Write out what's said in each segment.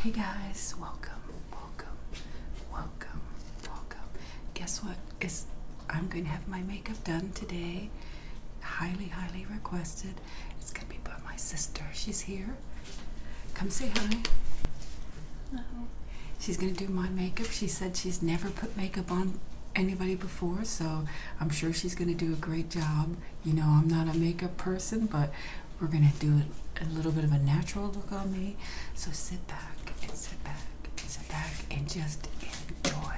Hey guys, welcome, welcome, welcome, welcome. Guess what? I'm going to have my makeup done today. Highly, highly requested. It's going to be by my sister. She's here. Come say hi. Hello. She's going to do my makeup. She said she's never put makeup on anybody before, so I'm sure she's going to do a great job. You know, I'm not a makeup person, but we're going to do a, a little bit of a natural look on me. So sit back sit back and sit back and just enjoy.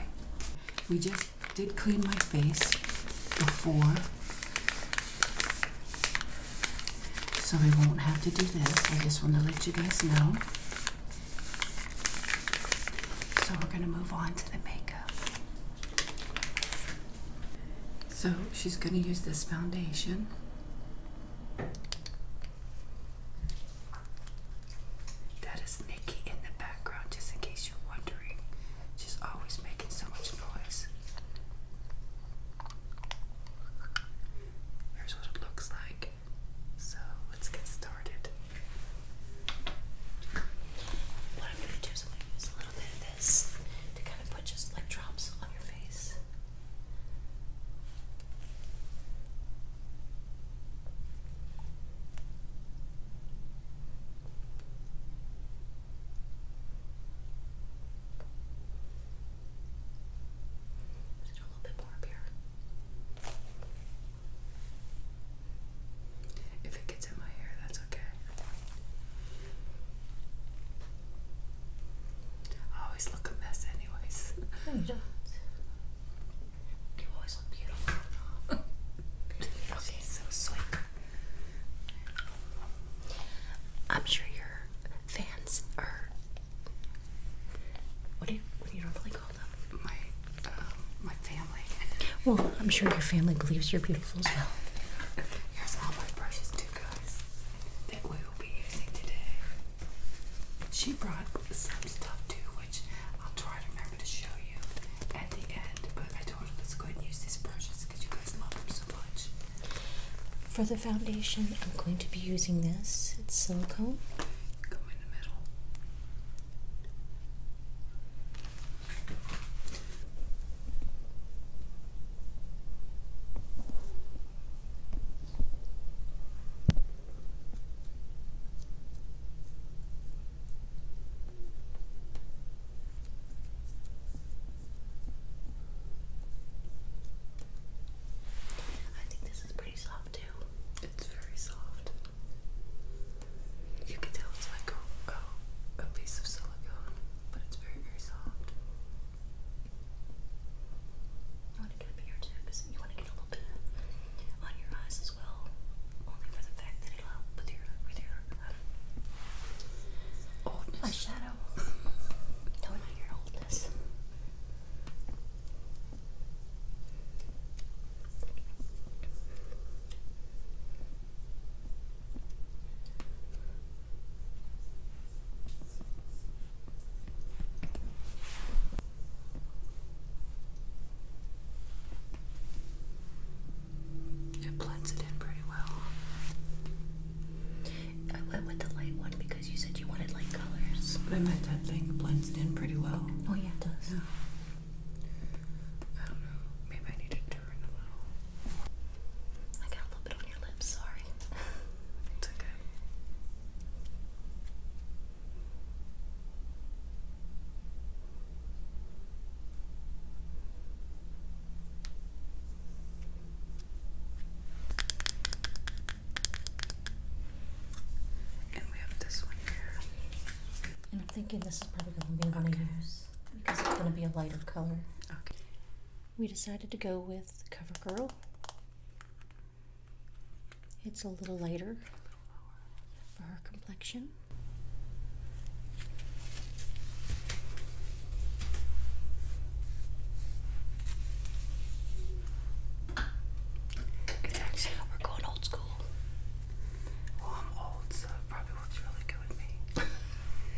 We just did clean my face before, so we won't have to do this. I just want to let you guys know. So we're going to move on to the makeup. So she's going to use this foundation. That is Nikki in the background, just in case you're wondering. She's always making so much noise. Here's what it looks like. So let's get started. What I'm going to do is I'm going to use a little bit of this to kind of put just like drops on your face. Just a little bit more up here. If it gets in my hair, that's okay. I always look a mess, anyways. you don't. You always look beautiful. okay, so sweet. I'm sure your fans are what do you what do you normally call them? My uh, my family. Well, I'm sure your family believes you're beautiful as well. Here's all my brushes too, guys, that we will be using today. She brought some stuff too, which I'll try to remember to show you at the end, but I told her let's go ahead and use these brushes because you guys love them so much. For the foundation, I'm going to be using this. It's silicone. I think this is pretty soft, too. It's very soft. You can tell it's like a, piece of silicone, but it's very, very soft. You want to get up here too, because you want to get a little bit on your eyes as well, only for the fact that it'll help with your, with your um, oldness. My your oldness. It blends it in pretty well. I went with the light one because because you said you wanted light colors. But my that thing blends in pretty well. Oh yeah, it does. I don't know. Maybe I need to turn a little. I got a little bit on your lips. Sorry. it's okay. And we have this one here. I'm thinking this is probably going to be one okay. I use because it's going to be a lighter color. Okay. We decided to go with CoverGirl. It's a little lighter for her complexion. It's actually we're going old school. Well, I'm old, so probably looks really good with me.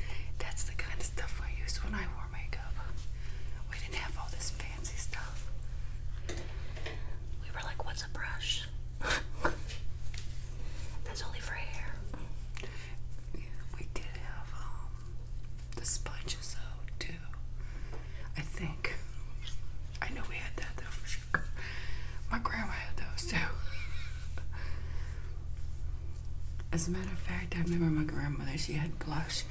That's the kind of stuff I used when I wore makeup. We didn't have all this fancy stuff. We were like, what's a brush? That's only for hair. Yeah, we did have um the sponges though too. I think. I know we had that though for sure. My grandma had those too. As a matter of fact, I remember my grandmother, she had blush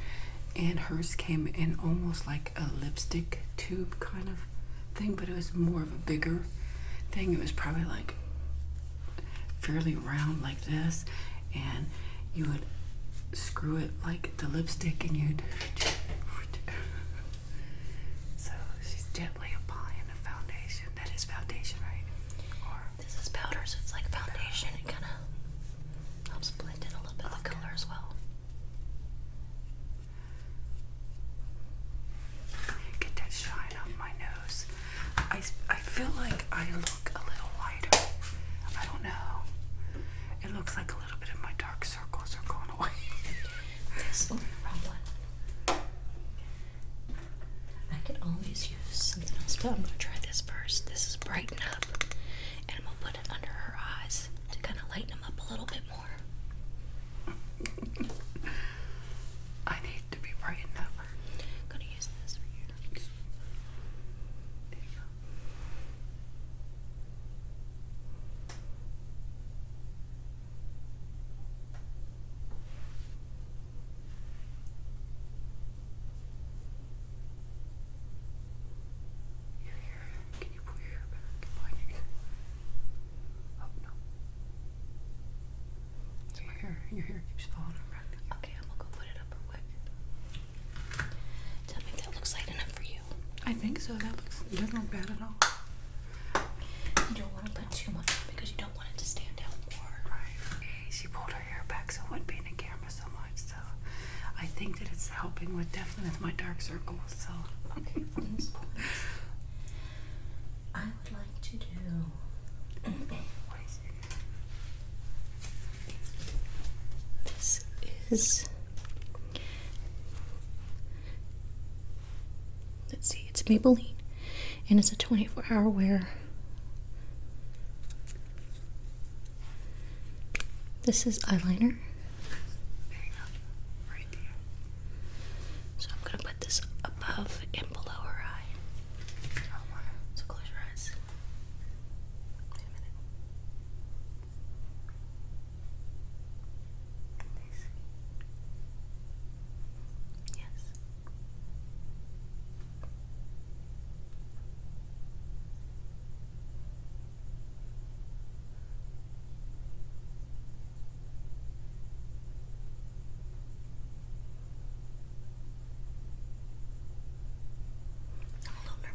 and hers came in almost like a lipstick tube kind of thing, but it was more of a bigger thing. It was probably like fairly round like this and you would screw it like the lipstick and you'd so she's gently applying a foundation that is foundation right or this is powder so it's like foundation it kind of helps blend in a little bit of color as well get that shine off my nose I, I feel like I look a little lighter I don't know it looks like a a little bit of my dark circles are going away. yes, oh, wrong one. I could always use something else, I'm gonna try this first. This is brighten up, and I'm gonna put it under her eyes to kind of lighten them up a little bit more. I need to be brightened up. I'm gonna use this for you. Your hair. Can you pull your hair back behind your ear? Oh no. your hair, your hair keeps falling around. Okay, I'm gonna go put it up real quick. Tell me that looks light enough for you. I think so. That looks it doesn't look bad at all. You don't want to put too much on because you don't want it to stand out more. Right. She pulled her hair back so it wouldn't be in the camera so much. So I think that it's helping with definitely with my dark circles. So okay. I would like to do. is let's see, it's Maybelline and it's a 24 hour wear. This is eyeliner. So I'm gonna put this above and below her eye. So close your eyes. This. Yes. All over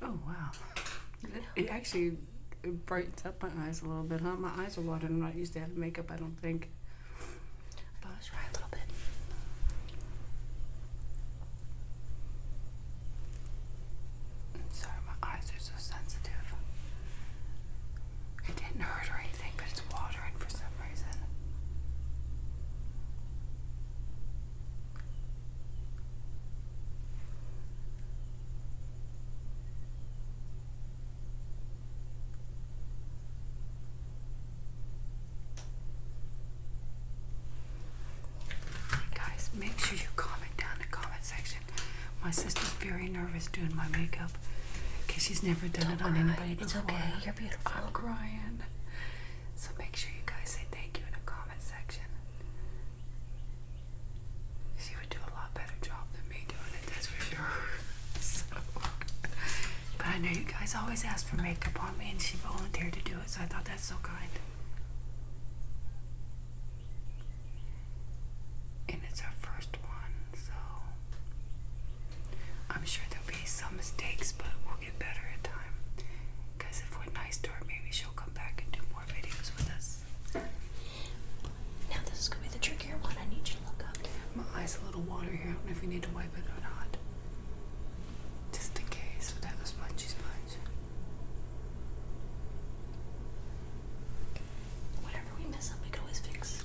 Oh wow! It, actually brightens up my eyes a little bit, huh? My eyes are watering. I'm not used to having makeup. I don't think. But i try a little bit. sorry, my eyes are so sensitive. It didn't hurt or anything, but it's watering for some reason. Guys, make sure you comment down in the comment section. My sister's very nervous doing my makeup because she's never done it on anybody before. It's okay. You're beautiful. I'm crying. So make sure you guys say thank you in the comment section. She would do a lot better job than me doing it, that's for sure. But I know you guys always ask for makeup on me, and she volunteered to do it, so I thought that's so kind. And it's our first one, so I'm sure there'll be some mistakes, but we'll get better in time. Because if we're nice to her, maybe she'll come back and do more videos with us. Now this is gonna be the trickier one. I need you to look up. My eyes a little water here. I don't know if we need to wipe it or not. Just in case, that was spongy sponge. Whatever we mess up, we can always fix.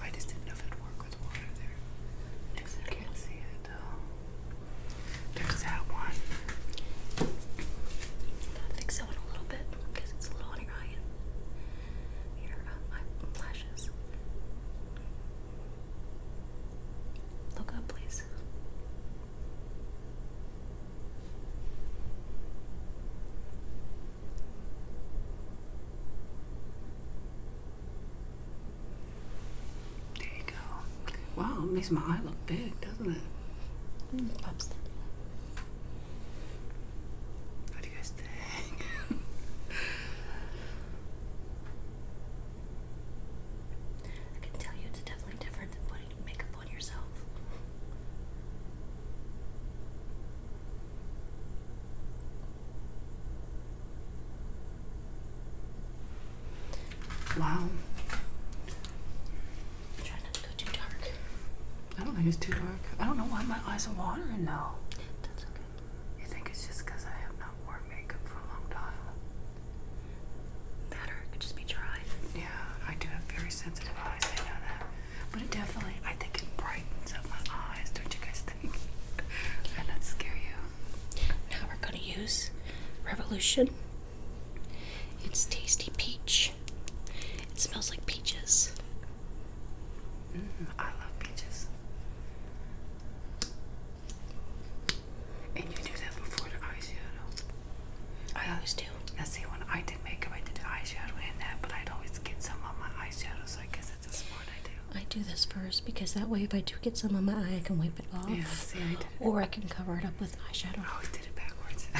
I just didn't know if it'd work with water there. I can't see it there's that one. fix that one a little bit because it's a little on your eye and your uh, Look up, please. There you go. Wow, it makes my eye look big, doesn't it? Mm, What do you guys think? I can tell you it's definitely different than putting makeup on yourself. Wow. I'm trying not to go too dark. I don't think it's too dark. I don't know why my eyes are watering though. That's okay. You think it's just because I have not worn makeup for a long time? That could just be dry. Yeah, I do have very sensitive eyes, I know that. But it definitely, I think it brightens up my eyes, don't you guys think? and that scare you. Now we're gonna use Revolution it's tasty peach. It smells like peaches. Mm, I love peaches. And you do that before the eyeshadow. I always do. Now see, when I did makeup, I did eyeshadow and that, but I'd always get some on my eyeshadow, so I guess that's a smart idea. I do this first because that way, if I do get some on my eye, I can wipe it off. Or I can cover it up with eyeshadow. Oh, I did it backwards.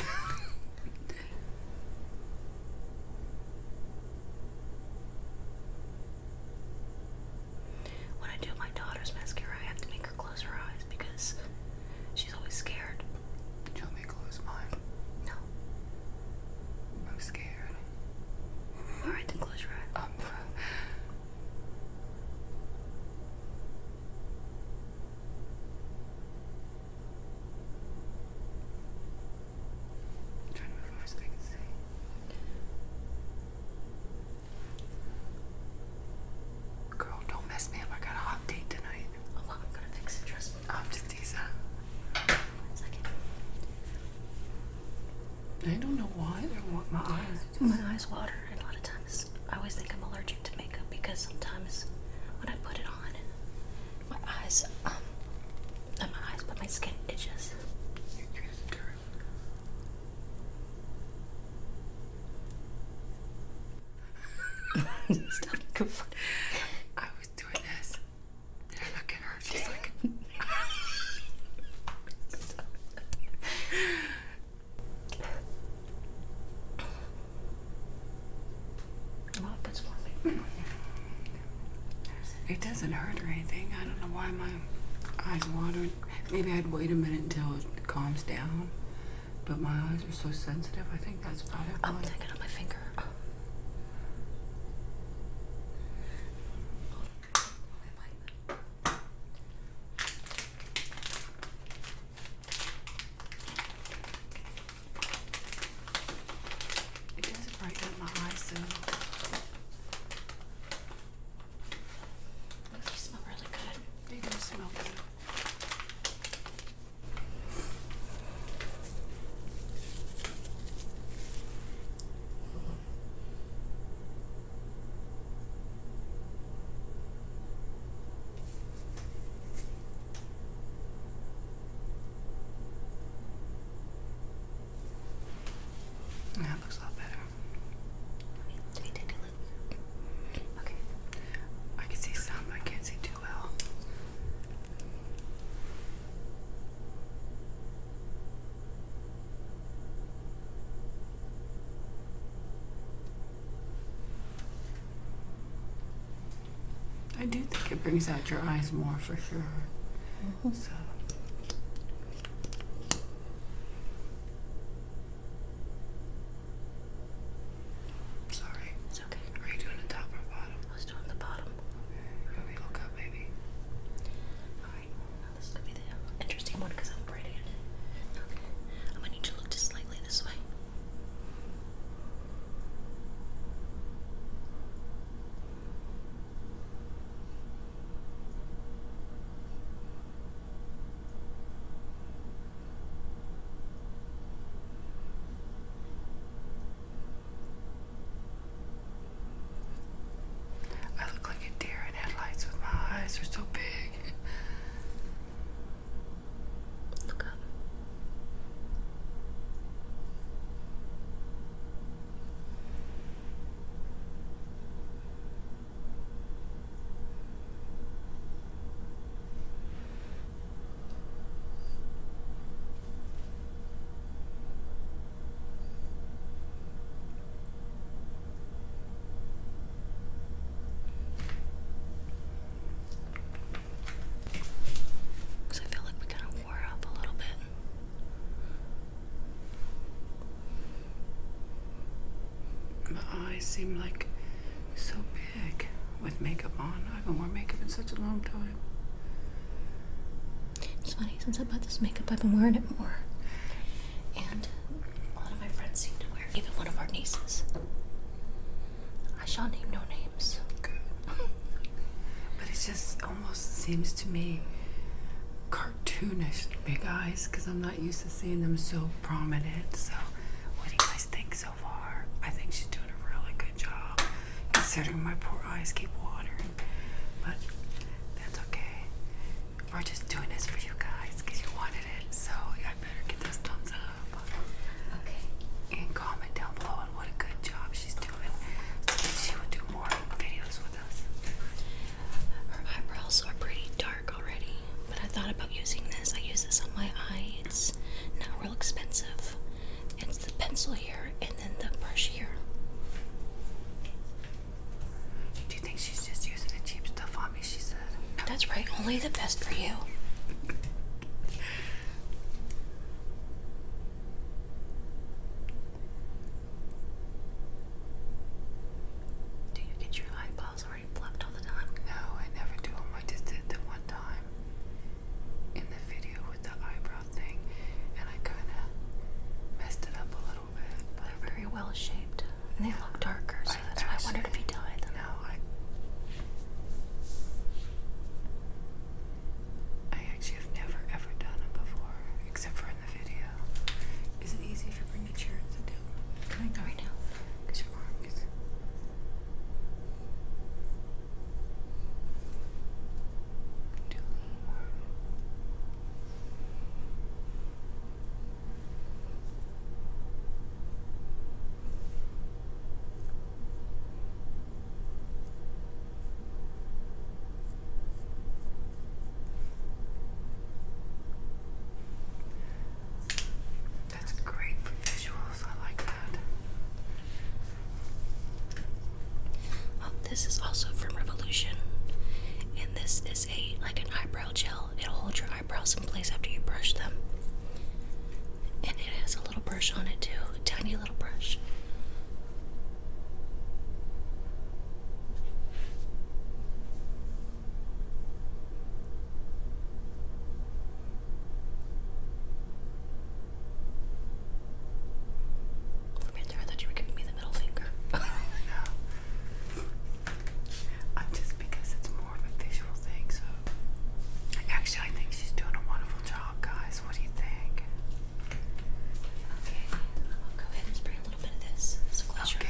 when I do my daughter's mascara, I have to make her close her eyes because she's always scared. Do me close mine? No. I'm scared. Alright, then close your eyes. i trying to move on so I can see. Girl, don't mess me up. I got a hot date tonight. Oh, I'm gonna fix it. Trust I'm just One second. I don't know why I want my eyes. My eyes water a lot of times. I always think I'm allergic to makeup because sometimes when I put it on, my eyes, um, not my eyes, but my skin itches. It Stop go for it. I was doing this. look at her? She's like It doesn't hurt or anything. I don't know why my eyes water. Maybe I'd wait a minute until it calms down. But my eyes are so sensitive. I think that's probably. I'm why. it on my finger. Oh. It doesn't brighten up my eyes though. Ooh, they smell really good. They do smell good. That looks a lot better. Wait, take look. Okay. I can see some, but I can't see too well. I do think it brings out your eyes more for sure. Mm-hmm. So. Sorry. It's okay. Are you doing the top or bottom? I was doing the bottom. Okay. me look up, maybe? Alright. Well, this is going to be the interesting one because I'm I'm gonna need you to look just slightly this way. I look like a deer in headlights with my eyes are so big. Look up. Because I feel like we kind of wore up a little bit. My eyes seem like so big with makeup on. I haven't worn makeup in such a long time. It's funny, since I bought this makeup, I've been wearing it more. And one of my friends seem to wear, even one of our nieces. I shall name no names. but it just almost seems to me cartoonish big eyes because I'm not used to seeing them so prominent. So, what do you guys think so far? I think she's doing a really good job considering my poor eyes keep watering. But that's okay we're just doing this for you guys because you wanted it. So I better get those thumbs up. Okay. And comment down below on what a good job she's doing she will do more videos with us. Her eyebrows are pretty dark already, but I thought about using this. I use this on my eye. It's not real expensive. It's the pencil here and then the brush here. Do think she's just using the cheap stuff on me? She said. That's right, only the best for you. Do you get your eyeballs already plucked all the time? No, I never do them. I just did the one time in the video with the eyebrow thing, and I kind of messed it up a little bit. But They're very well shaped, and they look darker that's why I wondered if he died. No, I. I actually have never ever done it before, except for in the video. Is it easy if bring the chair to do? Can I go right now? That's great for visuals. I like that. Um, this is also from Revolution, and this is a like an eyebrow gel. It'll hold your eyebrows in place after you brush them. And it has a little brush on it too, a tiny little brush. Right there, I thought you were giving me the middle finger. I'm uh, just because it's more of a visual thing, so actually I think she's doing a wonderful job, guys. What do you think? Okay, I'll go ahead and spray a little bit of this. okay.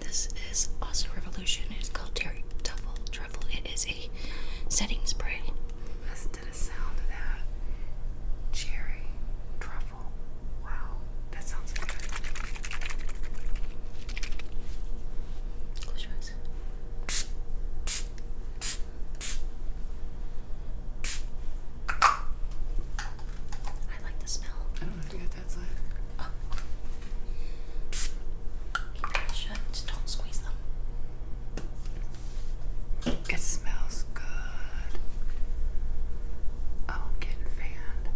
This is also Revolution. It's called Terry Double Truffle. It is a setting spray. Listen to the sound of that cherry truffle Wow, that sounds good. I like the smell. I don't know if you that side. Oh. shut. don't squeeze them. It smells good. Oh, i fanned.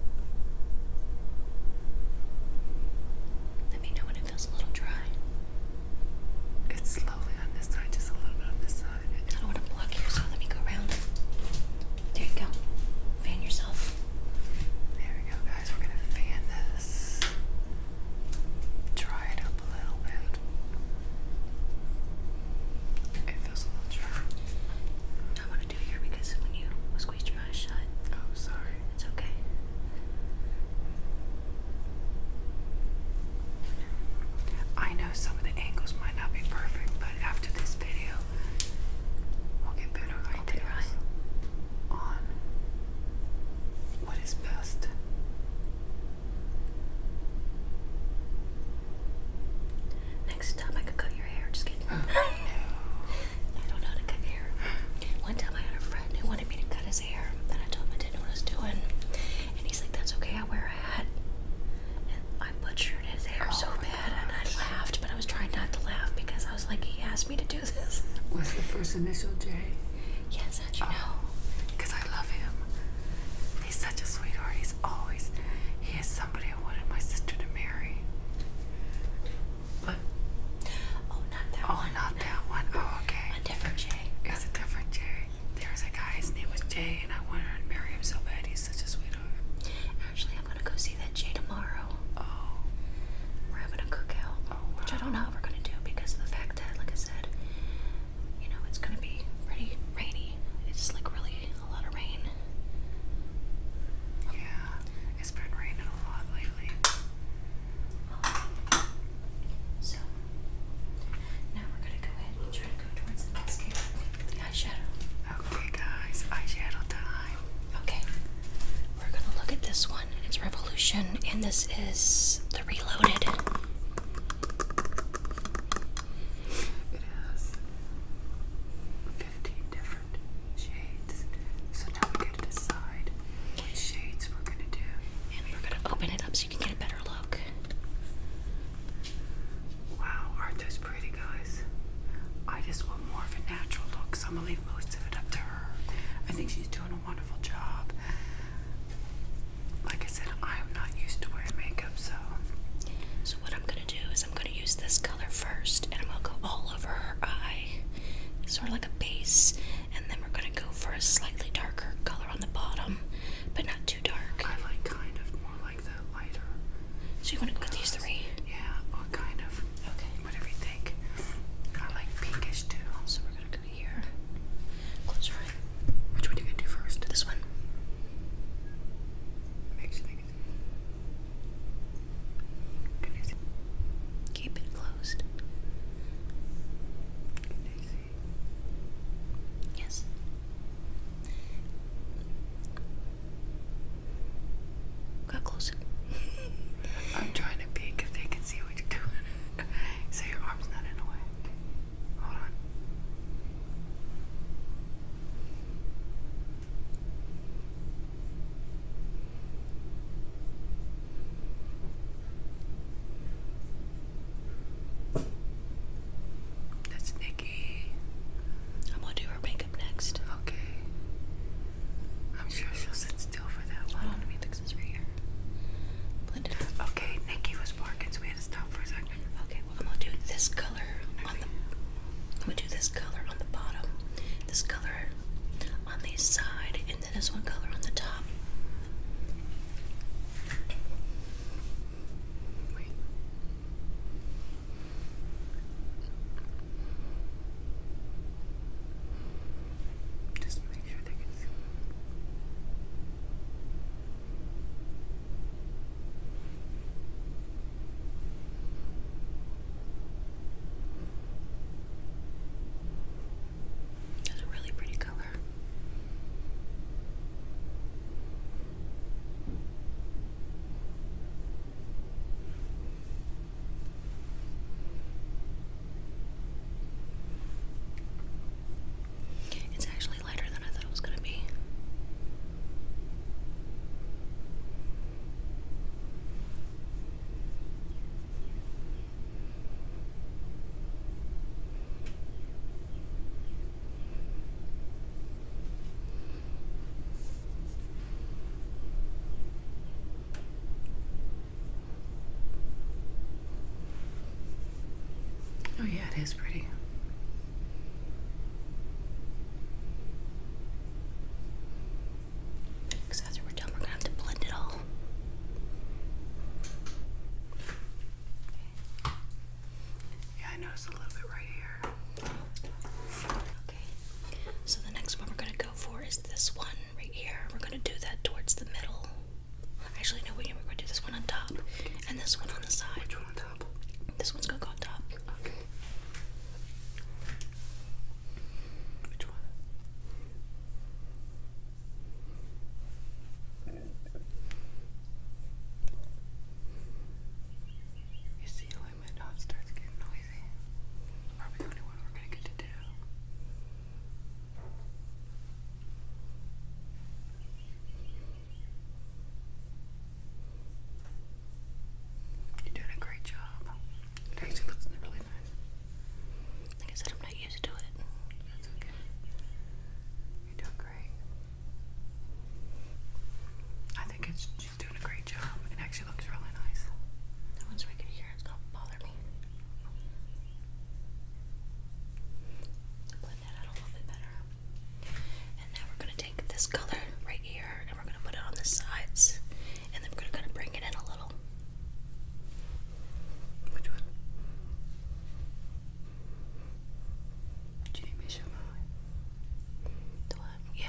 Let me know when it feels a little dry. It's slowly on this side, just a little bit on this side. I don't want to block here, so let me go around. There you go. Fan yourself. There we go, guys. We're going to fan this. Dry it up a little bit. It feels a little dry do here because when you squeezed your eyes shut. Oh, sorry. It's okay. I know some of the angles might not be perfect, but after this video, we'll get better ideas on what is best. Next time I could cut your hair. Just kidding. I don't know how to cut hair. One time I had a friend who wanted me to cut his hair, and I told him I didn't know what I was doing. And he's like, "That's okay. I wear a hat." And I butchered his hair oh so bad, and I laughed, but I was trying not to laugh because I was like, "He asked me to do this." Was the first initial J? Yes, you oh, know? Because I love him. He's such a sweetheart. He's always he is somebody I wanted my sister to marry. But oh, not that Oh, not that one. Oh, okay. A different Jay. It's a different Jay. There was a guy. His name was Jay, and I wanted to marry him so bad. He's such a sweetheart. Actually, I'm gonna go see that Jay tomorrow. Oh. We're having a cookout, oh, which I don't know how we're gonna do because of the fact that, like I said, you know, it's gonna be pretty rainy it's like really a lot of rain. Yeah, it's been raining a lot lately. so, now we're gonna go ahead and try to go towards the mascara with eyeshadow. Okay, guys, eyeshadow time. Okay, we're gonna look at this one. It's Revolution, and this is the Reloaded. It 15 different shades. So now we get to decide which shades we're going to do. And we're going to open it up so you can get a better look. Wow, aren't those pretty, guys? I just want more of a natural look, so I'm going to leave most of it up to her. I think she's doing a wonderful job. Like I said, I am not used to wearing makeup so. So what I'm gonna do is I'm gonna use this color first, and I'm gonna go all over her eye, sort of like a base, and then we're gonna go for a slightly darker color on the bottom, but not too dark. I like kind of more like the lighter. So you wanna put these three? Yeah, or kind of. Okay. Whatever you think. I like pinkish too. So we're gonna go here. Close your Which one you gonna do first? This one. Keep it closed. Yes. Got closer. I'm trying to peek if they can see what you're doing. so your arm's not in the way. Hold on. That's Nikki. I'm gonna do her makeup next. Okay. I'm sure she'll sit still for that one. Hold on, let me fix this right here. Blend Okay, Nikki was barking, so we had to stop for a second. Okay. I'm gonna do this color on the I'm gonna do this color on the bottom, this color on the side, and then this one color on the top. Just make sure they can see. It's a really pretty color. It's actually lighter than I thought it was going to be. Oh, yeah, it is pretty. Because after we're done, we're gonna have to blend it all. Yeah, I noticed a little bit right here. Okay. So the next one we're gonna go for is this one right here. We're gonna do that towards the middle. Actually, no, we're gonna do this one on top and this one on the side. This one's gonna go on top. Which one? You see when my dog starts getting noisy? Probably the only one we're gonna get to do. You're doing a great job. It actually looks really nice. Like I said, I'm not used to it. That's okay. You're doing great. I think it's she's doing a great job. It actually looks really nice. That one's we can it's gonna me. Blend that out a little bit better. And now we're going to take this color right here and we're going to put it on the sides. And then we're going to bring it in a little. Which one? Do you Yeah.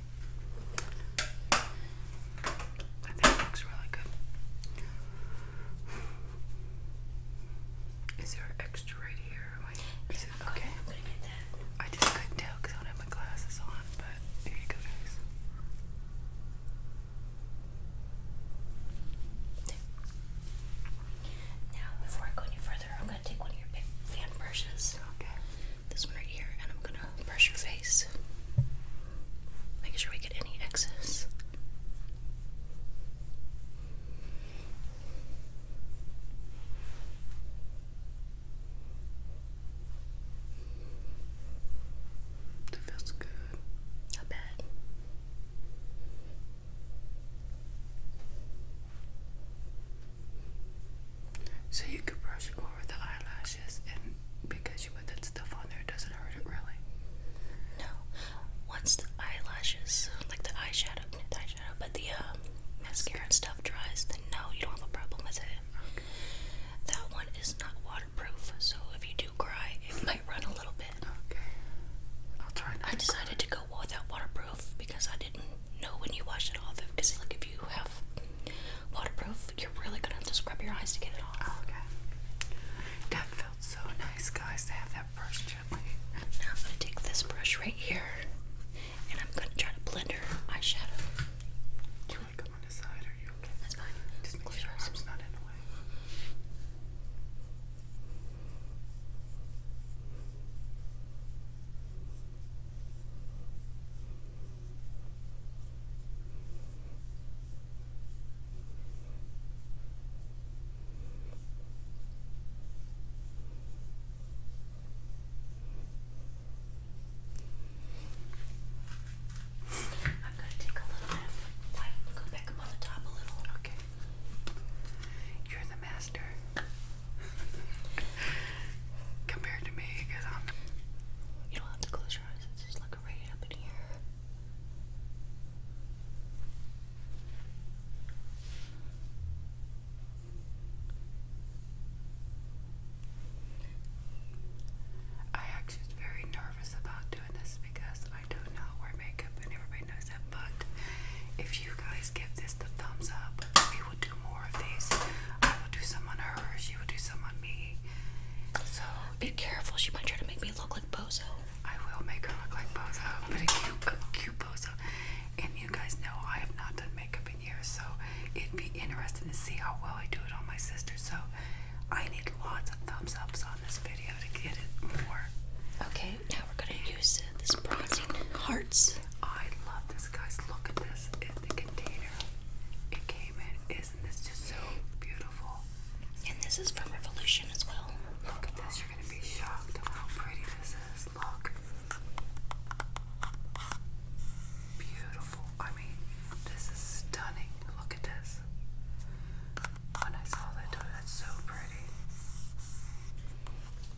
I think looks really good. Is there extra right here? Oh, okay. I just couldn't tell because I don't have my glasses on, but here you go, guys. Now, before I go any further, I'm gonna take one of your big fan brushes. Okay this one right here, and I'm gonna brush your face, making sure we get any excess. That feels good. Not bad. So you could brush over the eyelashes and because you put that stuff on there, it doesn't hurt it really. No. Once the eyelashes, like the eyeshadow, not eyeshadow, but the um, mascara and stuff dries, then no, you don't have a problem with it. That one is not waterproof, so if you do cry, it might run a little bit. Okay. I'll try I decided to go without waterproof because I didn't know when you wash it off. Because, like, if you have waterproof, you're really gonna have to scrub your eyes to get it off. Oh, okay. That felt so nice, guys, to have that brush gently. Now I'm gonna take this brush right here, and I'm gonna try to blend her eyeshadow. Do you come on the side? Are you okay? That's fine. Just make sure your arm's not in the way. I'm going to take a little bit of back up on the top a little. Okay. You're the master. compared to me because I'm. You don't have to close your eyes. It's just like right up in here. I actually was very nervous about doing this because I don't know where makeup and everybody knows that. But if you guys give this the thumbs up, she would do more of these. I will do some on her, she will do some on me. So be careful, she might try to make me look like Bozo. I will make her look like Bozo, but a cute, a cute Bozo. And you guys know I have not done makeup in years, so it'd be interesting to see how well I do it on my sister. So I need lots of thumbs ups on this video to get it more. Okay, now we're gonna use this bronzing hearts. I love this, guys. Look at this in the container it came in. Isn't this just so beautiful? And this is from Revolution as well. Look at this. You're going to be shocked how pretty this is. Look. Beautiful. I mean, this is stunning. Look at this. When I saw that, oh, that's so pretty.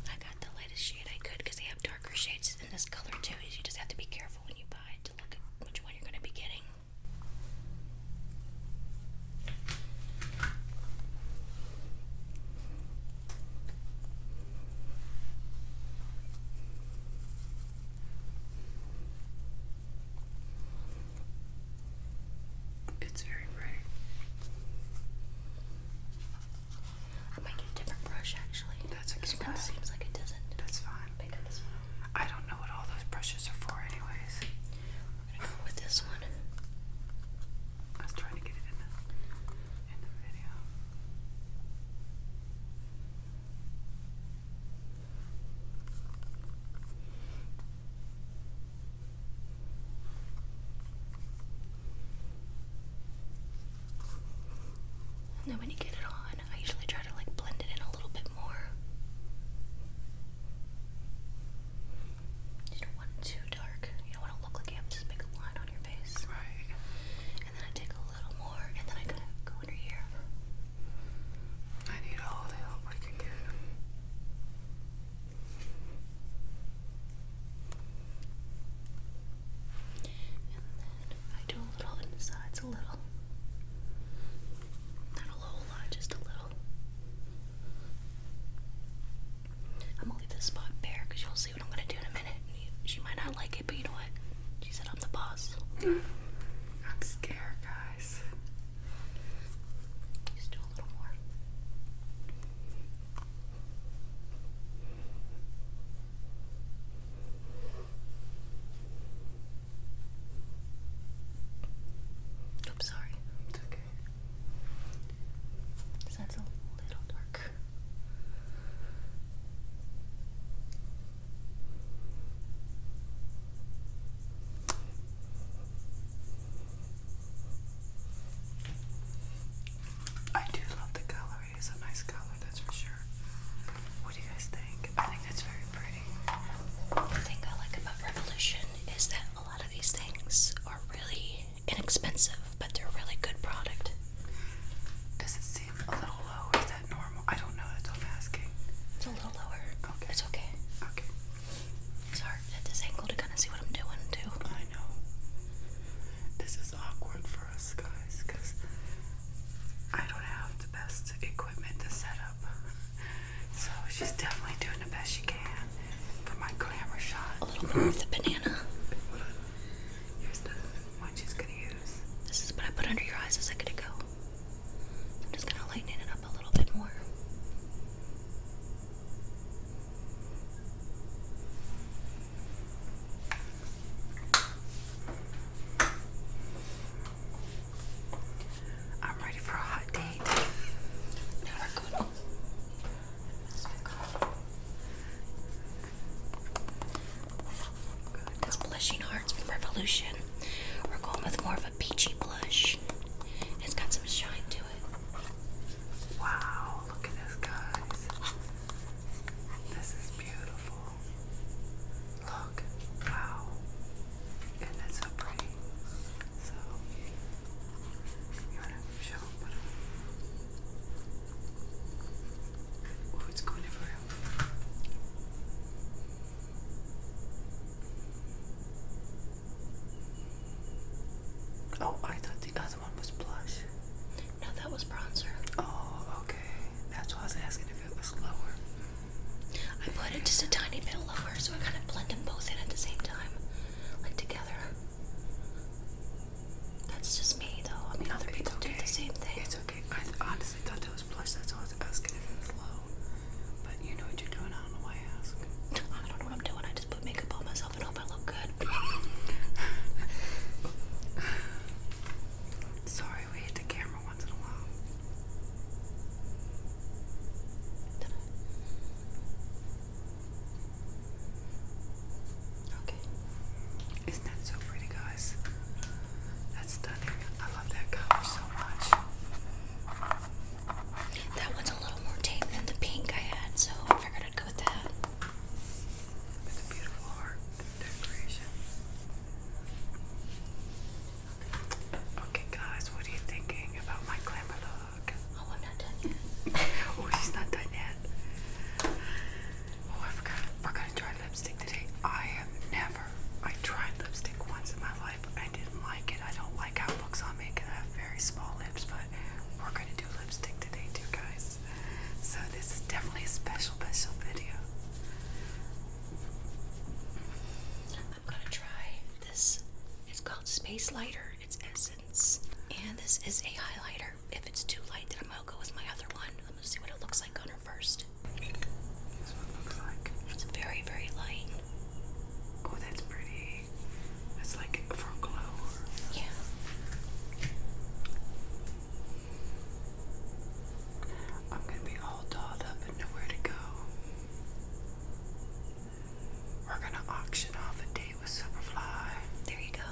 I got the lightest shade I could they have darker shades this this color too. Is you just have to be careful when you buy to look at which one you're going to be getting. It's very bright. I am making a different brush actually. That's okay. This one seems like it doesn't. That's fine. Pick I don't know what all those brushes are for, anyways. We're gonna go with this one. I was trying to get it in the in the video. Nobody get it on. I usually try to like blend it in a little bit more. You don't want too dark. You don't want to look like you have this big line on your face. Right. And then I take a little more, and then I kind of go under here. I need all the help I can get. I do a little in the sides, a little. Not a whole lot, just a little. I'm gonna leave this spot bare because you'll see what I'm gonna do in a minute. She might not like it, but you know what? She said I'm the boss. I'm scared, guys. Just do a little more. I'm sorry. It's okay. That's a little dark. I do love the color. It is a nice color, that's for sure. What do you guys think? I think that's very pretty. The thing I like about Revolution is that a lot of these things are really inexpensive, but they're really good product. Does it seem a little low? Is that normal? I don't know. That's what I'm asking. It's a little lower. Okay. It's okay. Okay. It's hard at this angle to kind of see what I'm doing too. I know. This is awkward for us guys because I don't have the best equipment to set up. So she's definitely doing the best she can for my glamour shot. A little more of the banana. This is what I put under your eyes a second ago. just gonna lighten it up a little bit more. I'm ready for a hot date. Now we're Good. This blushing hearts from Revolution. We're going with more of a peachy blush. It's got some shine to it. Wow, look at this, guys. This is beautiful. Look, wow. And it's so pretty. So, you want to show Oh, it's going everywhere. Oh, I thought the other one was blush. No, that was bronzer. Oh, okay. That's why I was asking if it was lower. I put it just a tiny bit lower, so I kind of blend them both in at the same time, like together. That's just me, though. I mean, other people do the same thing. It's okay. I honestly thought that was blush. That's why I was asking if it was low. But you know what you're doing. I don't know why I ask. I don't know what I'm doing. I just put makeup on myself and hope I look good. Sorry, we hit the camera once in a while. Okay. Isn't that so pretty, guys? That's stunning. I love that color so much. That one's a little more tame than the pink I had, so figured I'd go with that. It's a beautiful heart. Okay, guys, what are you thinking about my glamour look? Oh, I'm not done yet. oh, she's not done yet. Oh, I forgot. We're gonna try lipstick today. I have never. I tried lipstick once in my life. I didn't like it. I don't like how it looks on me because I have very small lips. But we're gonna do lipstick today, too, guys. So this is definitely a special, special video. I'm gonna try this. It's called Space Lighter. It's Essence. And this is a highlighter. If it's too light, then I'm gonna go with my other one. Let me see what it looks like on her first. That's what it looks like. It's very, very light. Oh, that's pretty. That's like for glow. Yeah. I'm going to be all dolled up and nowhere to go. We're going to auction off a date with Superfly. There you go.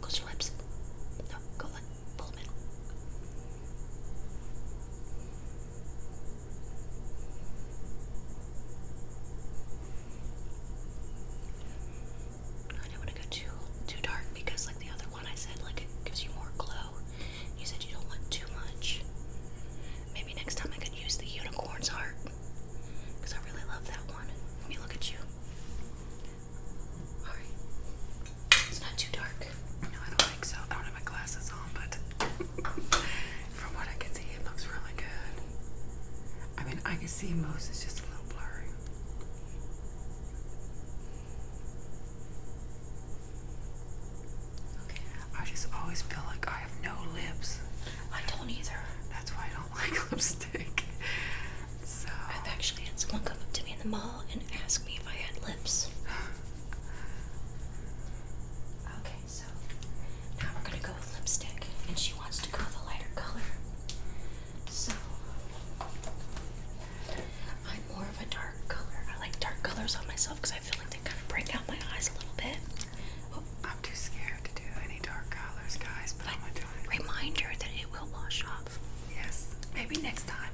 Close your lips. No, go like pull them in. I don't want to go too too dark because like the other one I said like it gives you more glow. You said you don't want too much. Maybe next time I could use the unicorn's heart because I really love that one. Let me look at you. All right, it's not too dark. No, I don't think so. I don't have my glasses on, but from what I can see, it looks really good. I mean, I can see most, it's just a little blurry. Okay. I just always feel like I have no lips. I don't either. That's why I don't like lipstick. So i actually had someone come up to me in the mall and ask me if I had lips. okay, so now we're gonna go with lipstick, and she wants to go with a lighter color. So I'm more of a dark color. I like dark colors on myself because I feel like they kind of break out my eyes a little bit. Oh, I'm too scared to do any dark colors, guys. But, I'm gonna do it. Reminder that it will wash off. Yes. Maybe next time,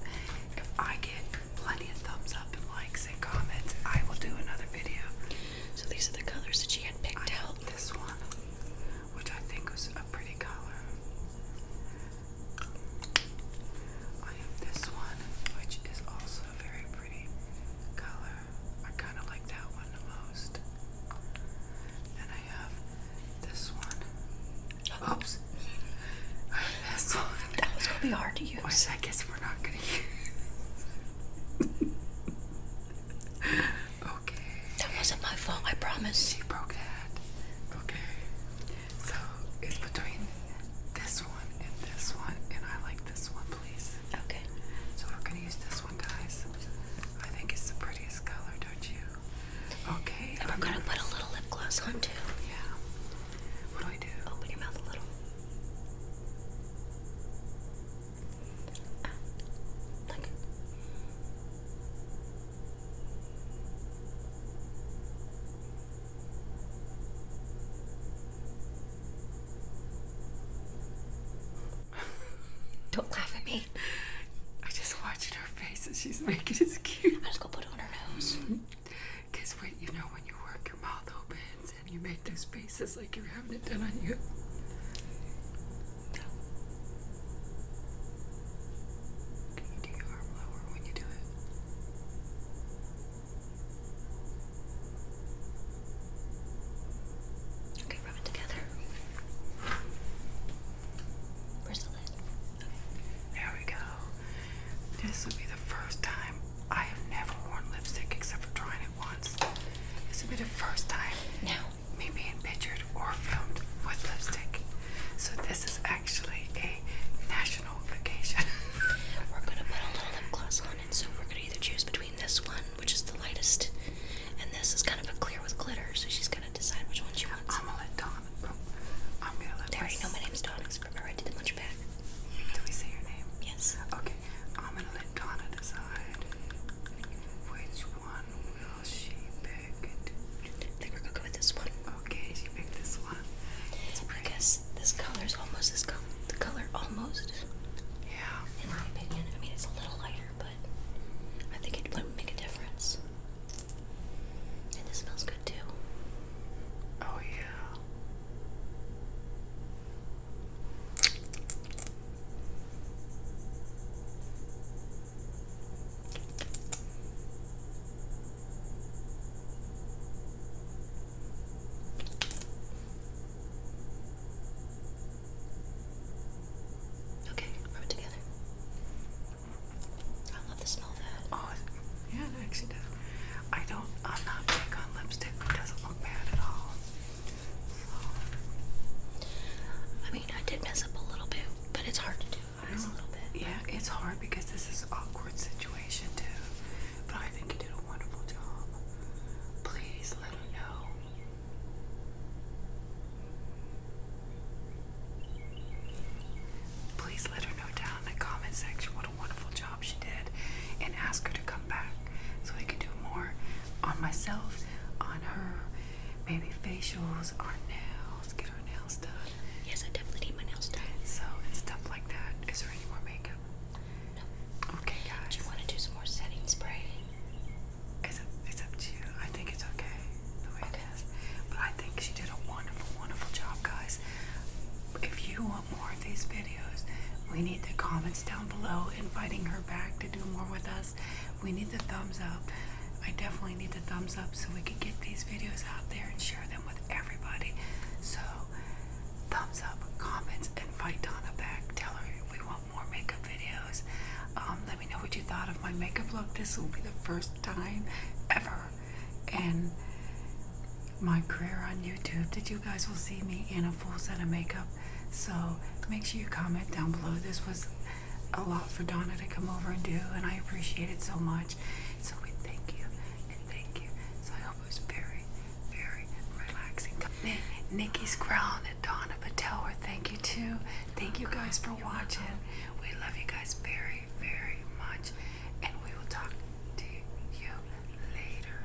if I get plenty of thumbs up and likes and comments, I will do another video. So these are the colors that she had picked out. This one which I think was a pretty color. I have this one, which is also a very pretty color. I kind of like that one the most. And I have this one. Oops. I have this one. That was going to be hard to use. I guess we're not going to use. That wasn't my fault, I promise. She broke that. Okay. So it's between this one and this one, and I like this one, please. Okay. So we're gonna use this one, guys. I think it's the prettiest color, don't you? Okay. And we're gonna put a little lip gloss on too. Yeah. What do I do? Open your mouth a little. Don't laugh at me. I am just watching her face and she's making this cute. I am just gonna put it on her nose. Cause when you know when you work your mouth opens and you make those big face is like you're having it done on you. Can you do your arm lower when you do it? Okay, rub it together. Where's the lid? Okay. There we go. This will be the first time I have never worn lipstick except for trying it once. This will be the first time. Now me being pictured or filmed with lipstick. So this is actually a national occasion. we're gonna put a little lip gloss on, and so we're gonna either choose between this one, which is the lightest, and this is kind of a clear with glitter. So she's gonna decide which one she wants. I'm gonna let Dawn. I'm gonna let. They already know my name's Dawn because remember I did the munch back. Do we say your name? Yes. Okay. I'm gonna let Donna decide which one will she pick. I think we're gonna go with this one. Okay, she picked this one. I guess this color almost as com the color almost. Yeah. In my opinion, I mean it's a little lighter, but I think it would make a difference. And this smells good too. Oh yeah. Okay, rub it together. I love the smell of that. Oh, yeah, it actually does. I don't, I'm not big on lipstick, but it doesn't look bad at all. I mean, I did mess up a little bit, but it's hard to do. a little bit. Yeah, it's hard because this is awkward situation too. But I think you did a wonderful job. Please let her know. Please let her know down in the comment section what a wonderful job she did and ask her to come back so we can do more on myself, on her, maybe facials, our nails, get our nails done. Yes, I definitely need my nails done. So and stuff like that. Is there any more makeup? No. Okay, guys. Do you want to do some more setting spray? It's up, it's up to you. I think it's okay the way it is. But I think she did a wonderful, wonderful job, guys. If you want more of these videos, we need the comments down below, inviting her back to do more with us. We need the thumbs up. I definitely need the thumbs up so we can get these videos out there and share them with everybody. So, thumbs up, comments, invite Donna back. Tell her we want more makeup videos. Um, let me know what you thought of my makeup look. This will be the first time ever in my career on YouTube that you guys will see me in a full set of makeup. So, make sure you comment down below. This was a lot for Donna to come over and do, and I appreciate it so much. So we thank you and thank you. So I hope it was very, very relaxing. Nikki's crown at Donna, but tell thank you too. Thank you guys for watching. We love you guys very, very much, and we will talk to you later.